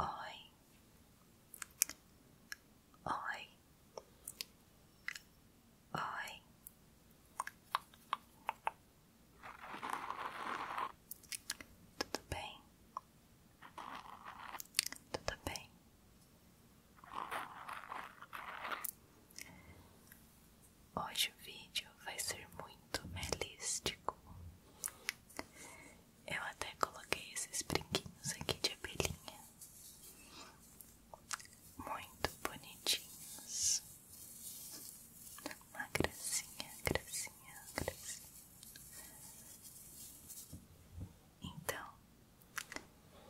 Oi, oi, oi, tudo bem, tudo bem. Hoje o vídeo vai ser muito melístico. Eu até coloquei esses brinquinhos aqui de abelhinha, muito bonitinhos. Uma gracinha, gracinha, gracinha. Então,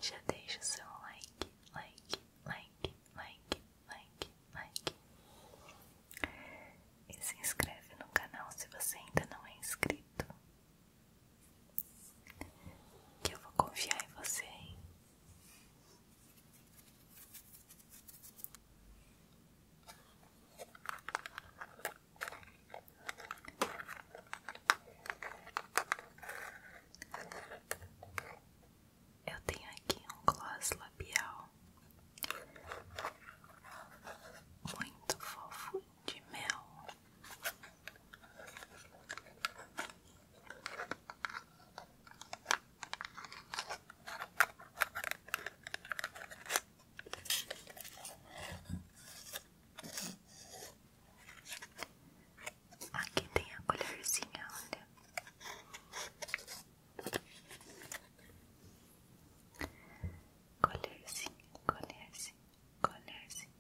já deixa o seu like, like, like, like, like, like. E se inscreve no canal se você ainda não é inscrito. Que eu vou confiar em você. Hein? Eu tenho aqui um gloss labial muito fofo de mel. Aqui tem a colherzinha, olha. Colherzinha, colherzinha, colherzinha,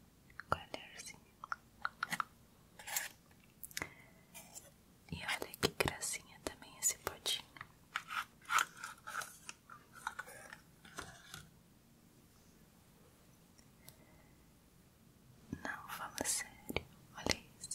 colherzinha. E olha que gracinha também esse potinho. Não, fala sério, olha isso.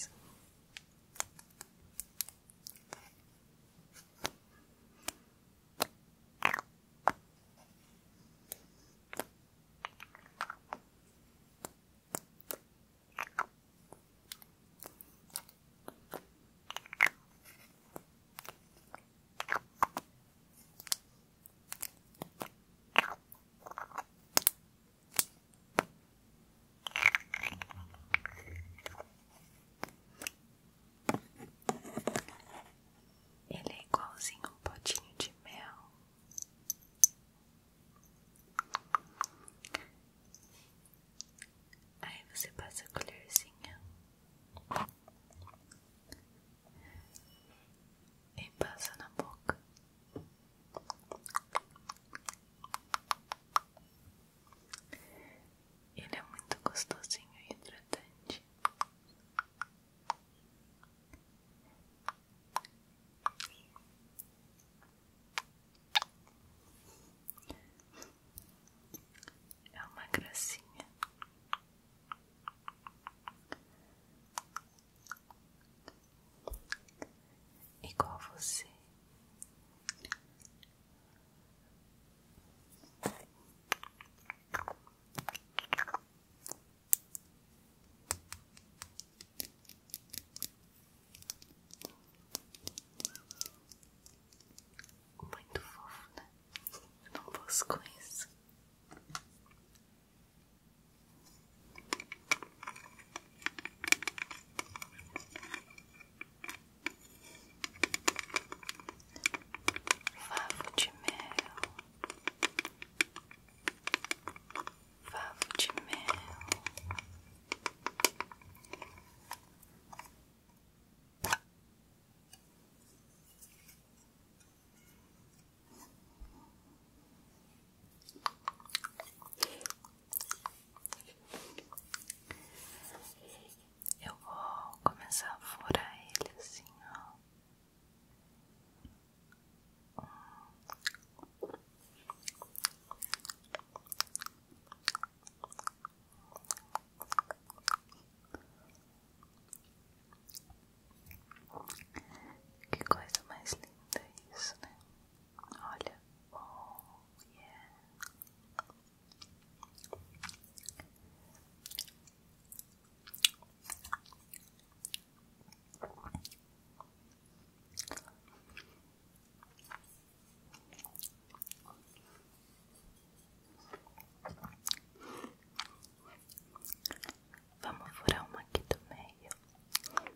Ele é igualzinho um potinho de mel. Aí você passa a colherzinha e passa na boca. Ele é muito gostosinho e hidratante. É uma gracinha igual você. Muito fofo, né? Não posso com Favo de mel, favo de mel. Eu vou começar a furar ele assim, ó. Que coisa mais linda isso, né? Olha, Vamos furar uma aqui do meio. Vamos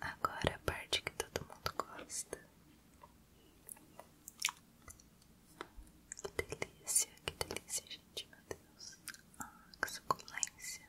Agora é a parte que todo mundo gosta. Que delícia, que delícia, gente, meu Deus. Ah, que suculência.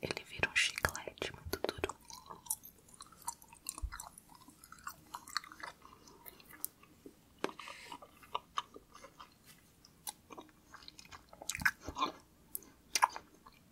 Ele vira um chiclete muito duro.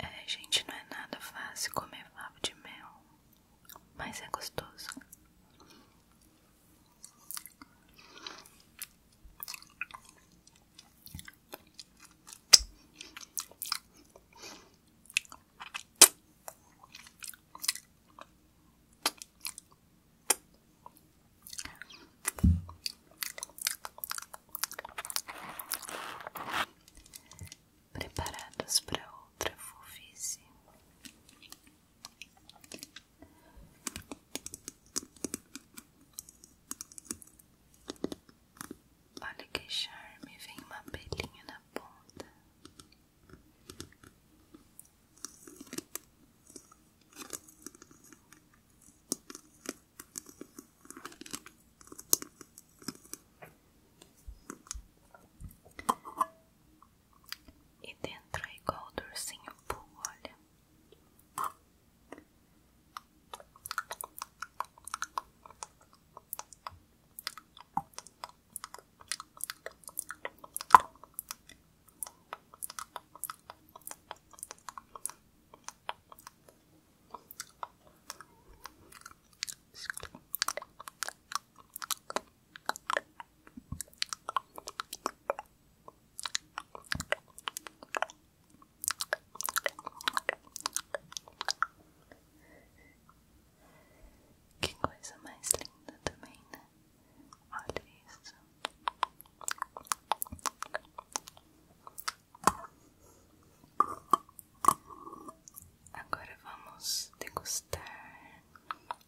É, gente, não é nada fácil comer favo de mel mas é gostoso. Preparados para outra fofice. Olha que charme, vem uma pelinha na ponta. E dentro é igual o ursinho olha. Que coisa mais linda também, né? Olha isso. Agora vamos degustar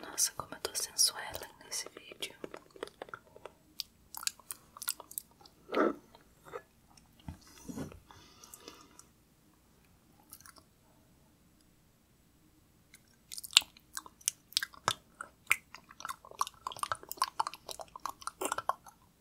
Nossa, como eu tô sensuela nesse vídeo.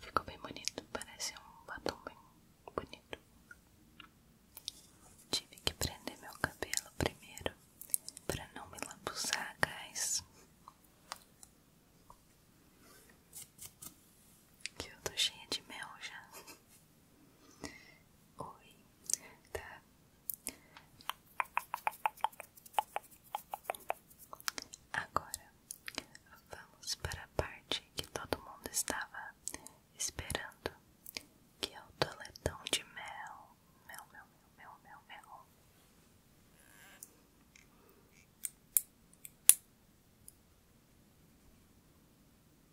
Ficou bem bonito, parece um batom bem bonito. Tive que prender meu cabelo primeiro para não me lambuzar gás. Que eu tô cheia de mel já. Oi, tá? Agora vamos para a parte que todo mundo estava esperando, que é o toletão de mel. Mel, mel, mel, mel, mel, mel.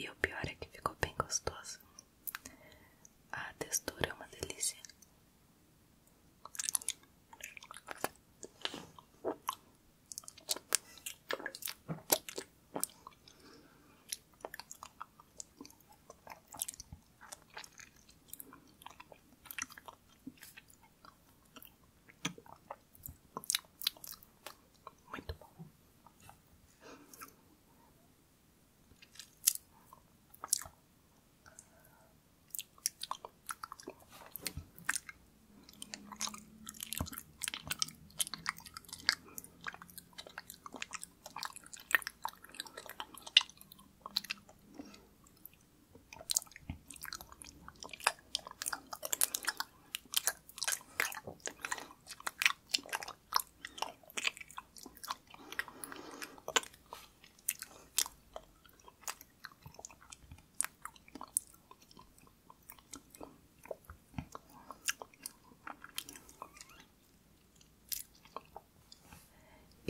E o pior é que ficou bem gostoso. A textura é uma delícia. Muito bom.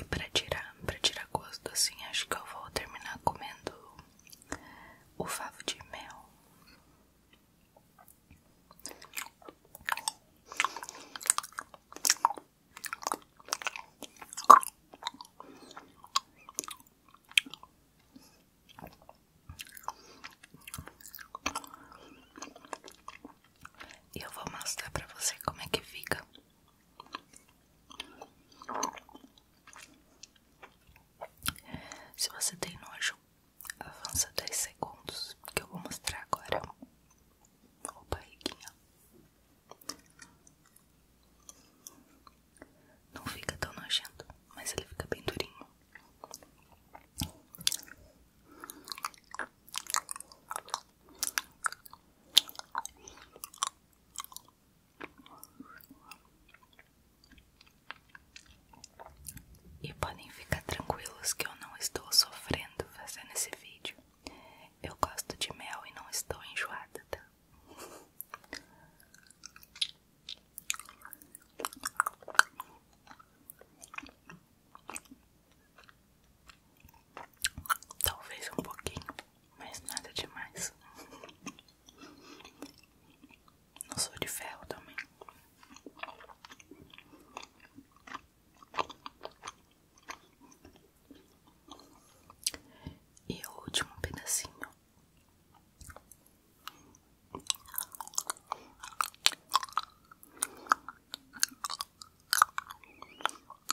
E para tirar, para tirar gosto assim, acho que eu vou terminar comendo o favo de mel. E eu vou mostrar para você como é que fica se você tem nojo, avança 10 segundos que eu vou mostrar agora. o barriguinha. Não fica tão nojento, mas ele fica bem durinho. E podem ficar tranquilos que eu não estou sofrendo fazendo esse vídeo. Eu gosto de mel e não estou enjoada, tá? Talvez um pouquinho, mas nada demais. Não sou de ferro também. E o último pedacinho.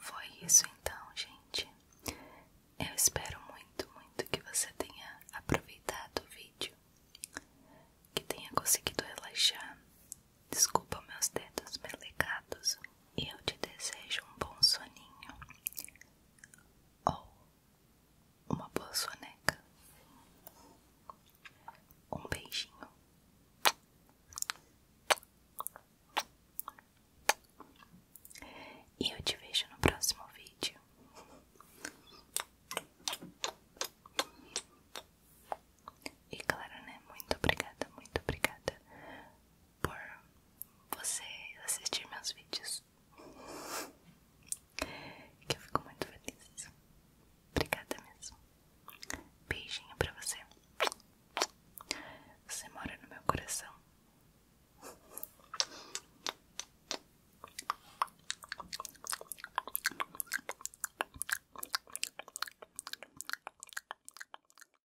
Foi isso então, gente. Eu espero muito, muito que você tenha aproveitado o vídeo, que tenha conseguido relaxar. Desculpa meus dedos melecados e eu te desejo um bom soninho ou uma boa soneca. Um beijinho. E eu te vejo no próximo vídeo. E claro, né? Muito obrigada, muito obrigada por você assistir meus vídeos. Que eu fico muito feliz. Obrigada mesmo. Beijinho pra você. Você mora no meu coração.